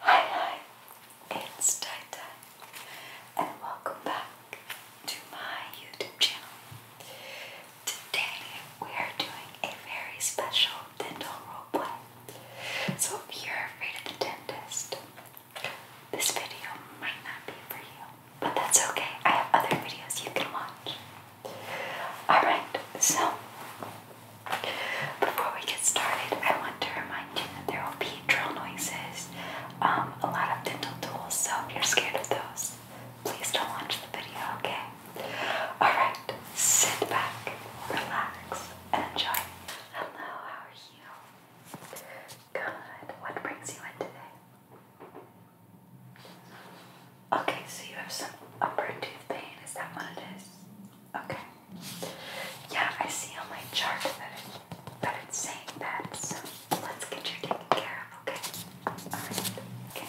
Hi, hi, it's Tata, and welcome back to my YouTube channel. Today we are doing a very special dental role play. So if you're afraid of the dentist, this video might not be for you. But that's okay. I have other videos you can watch. Alright, so before we get started, I want to remind you that there will be drill noises, um, a lot of dental tools, so if you're scared of those, please don't watch the video, okay? Alright, sit back, relax, and enjoy. Hello, how are you? Good. What brings you in today? Okay, so you have some upper tooth pain. Is that what it is? Okay. Yeah, I see on my chart that it, that it's saying that. So let's get you taken care of. Okay. All right. Okay.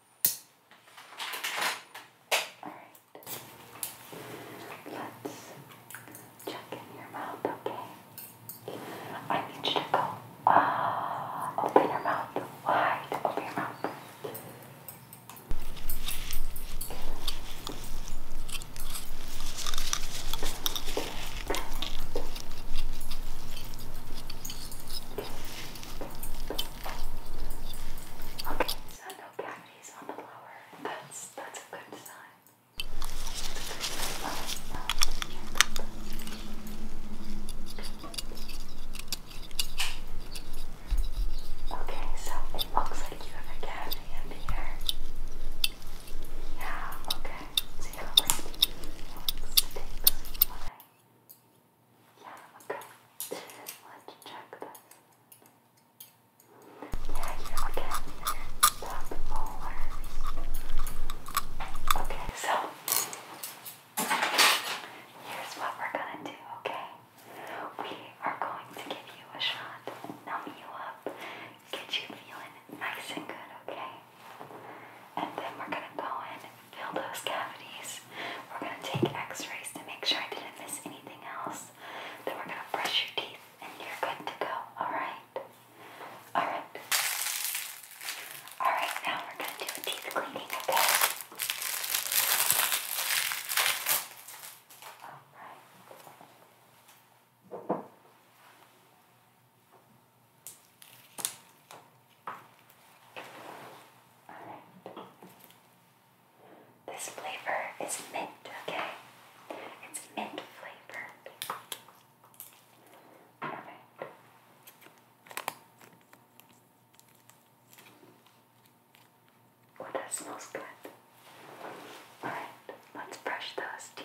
Alright. Let's check in your mouth, okay? I need you to go. Ah, open your mouth wide. Open your mouth. Good. Okay, so no cavities on the blower. That's that's a good sign. Okay, so it looks like you have a cavity in here. Yeah, okay. See how it looks. Yeah, okay. Let's check this. Yeah, you again. Top molar. Okay, so here's what we're gonna do, okay? We are going to give you a shot, numb you up, get you feeling nice and good, okay? And then we're gonna go in and fill those cavities. We're gonna take x-rays to make sure I didn't miss anything else. Then we're gonna brush your teeth and you're good to go, alright? Alright. Alright, now we're gonna do a teeth cleaning, okay? Alright. This flavor is mint, okay? It's mint flavor. Alright. Oh, that smells good. Alright, let's brush those teeth.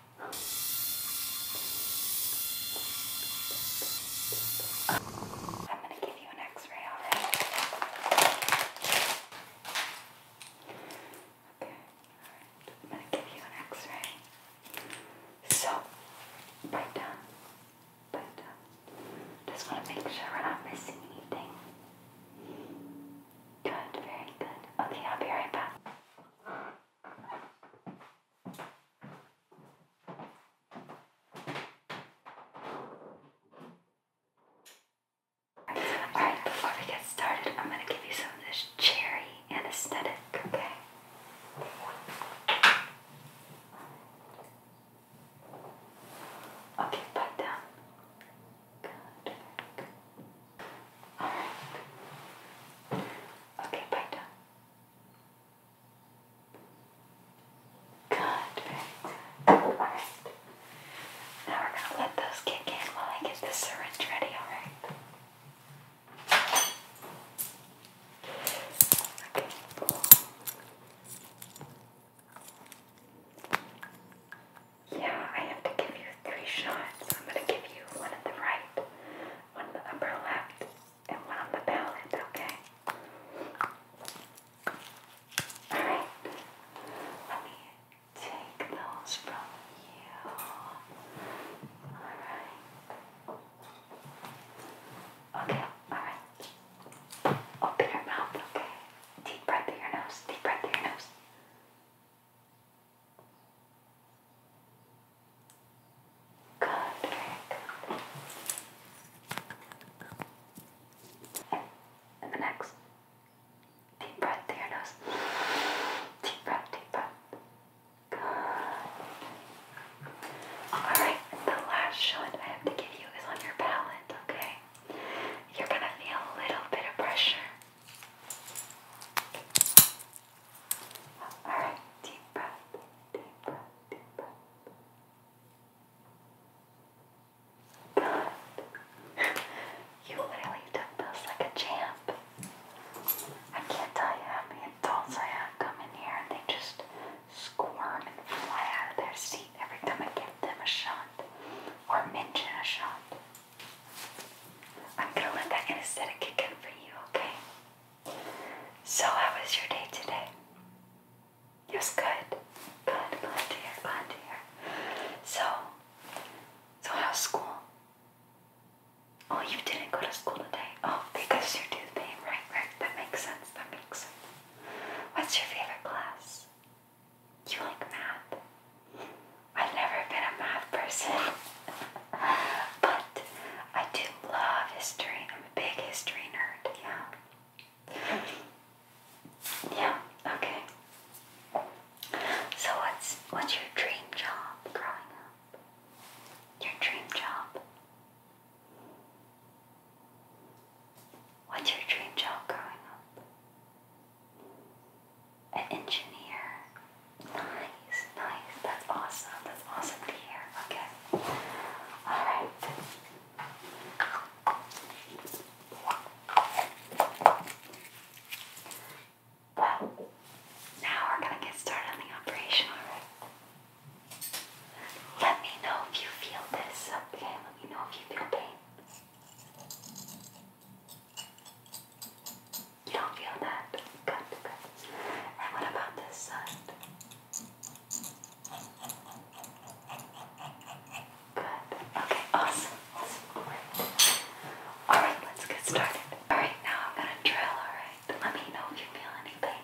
I'm going to give you an x-ray of Okay, I'm going to give you an x-ray. So, bite down, bite down. Just want to make sure we're not missing anything. Good, very good. Okay, I'll be right back. Alright, before we get started, I'm going to give you some of this cherry anesthetic, okay? Okay, bite down. Good. Good. Alright. Okay, bite down. Good, Alright. Now we're going to let those kick in while I get this syringe ready, alright? Yeah, I have to give you three shots. I'm going to give you one at the right one on the upper left, and one on the palette, okay? Alright, let me take those from you. Alright. Okay, alright. Open your mouth, okay? Deep breath through your nose, deep breath through your nose. Good, And the next. Deep breath through your nose. Deep breath, deep breath. Good. Alright, the last shot I have to give you is on your palate, okay? You're gonna feel a little bit of pressure. All right, deep breath, deep breath, deep breath. you literally took this like a champ. I can't tell you how many adults I have come in here and they just squirm and fly out of their seat every time I give them a shot or mention a shot. I'm gonna let that anesthetic kick in for you, okay? So, how was your day today? It was good. Good, glad to hear, glad to hear. So, so how's school? Oh, you didn't go to school today. Oh, because your tooth pain, right? Right. That makes sense. That makes sense. What's your favorite class? Do you like math? I've never been a math person, but I do love history. I'm a big history nerd, yeah. Yeah, okay. So what's what's your dream job growing up? Your dream job? What's your dream job growing up? an engineer. Nice, nice. That's awesome. That's awesome to hear. Okay. Alright. now we're going to get started on the operation, alright? Let me know if you feel this, okay? Let me know if you feel pain. You don't feel that? Good, good. And what about this side? Good. Okay, awesome. awesome. Alright, let's get started. Alright, now I'm gonna drill, alright? Let me know if you feel any pain,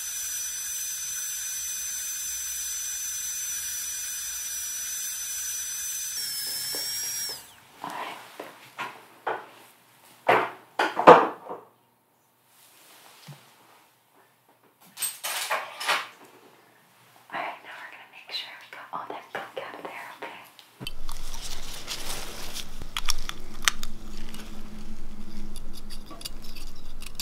All right. All right, now we're going to make sure we got all that gunk out of there, okay?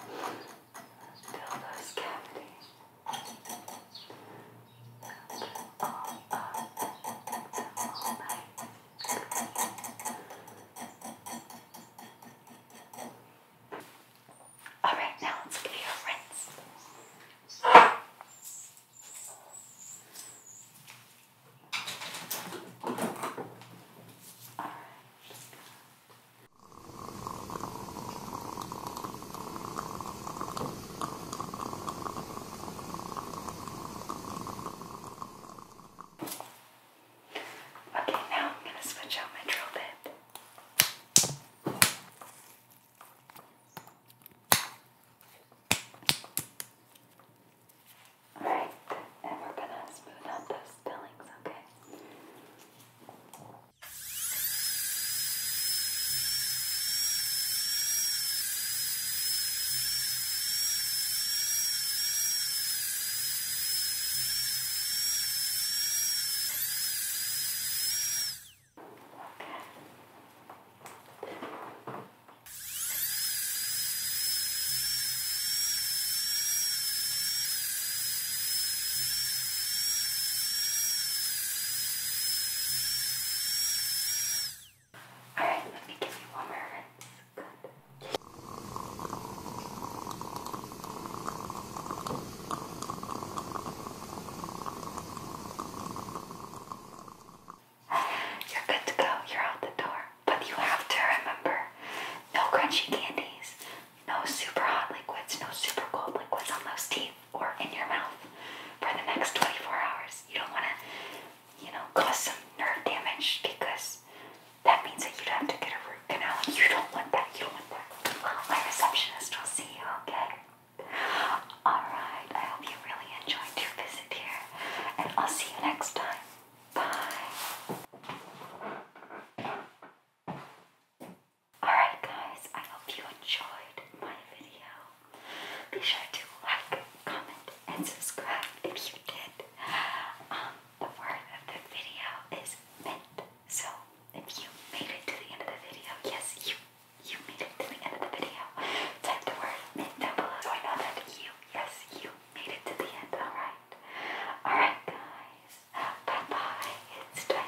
Fill those cavities all up all night. Alright, now let's give you a rinse. Alright, Okay, now I'm going to switch out my drill bit. Alright, and we're gonna smooth out those fillings, okay? All right, let me give you one more rinse. Good. You're good to go. You're out the door but you have to remember no crunchy candies, no super hot liquids, no super cold liquids on those teeth or in your mouth for the next 24 hours. You don't want to, you know, cause some nerve damage because that means that you'd have to get a root canal. You don't want that. You don't want that. my receptionist will see you, okay? Alright, I hope you really enjoyed your visit here, and I'll see you next time. Bye. Alright, guys, I hope you enjoyed my video. Be sure to like, comment, and subscribe if you did. Um, the word of the video is mint. So if you made it to the end of the video, yes, you you made it to the end of the video. Type the word mint down below so I know that you, yes, you made it to the end. Alright. Alright, guys. Bye bye. It's Twitter.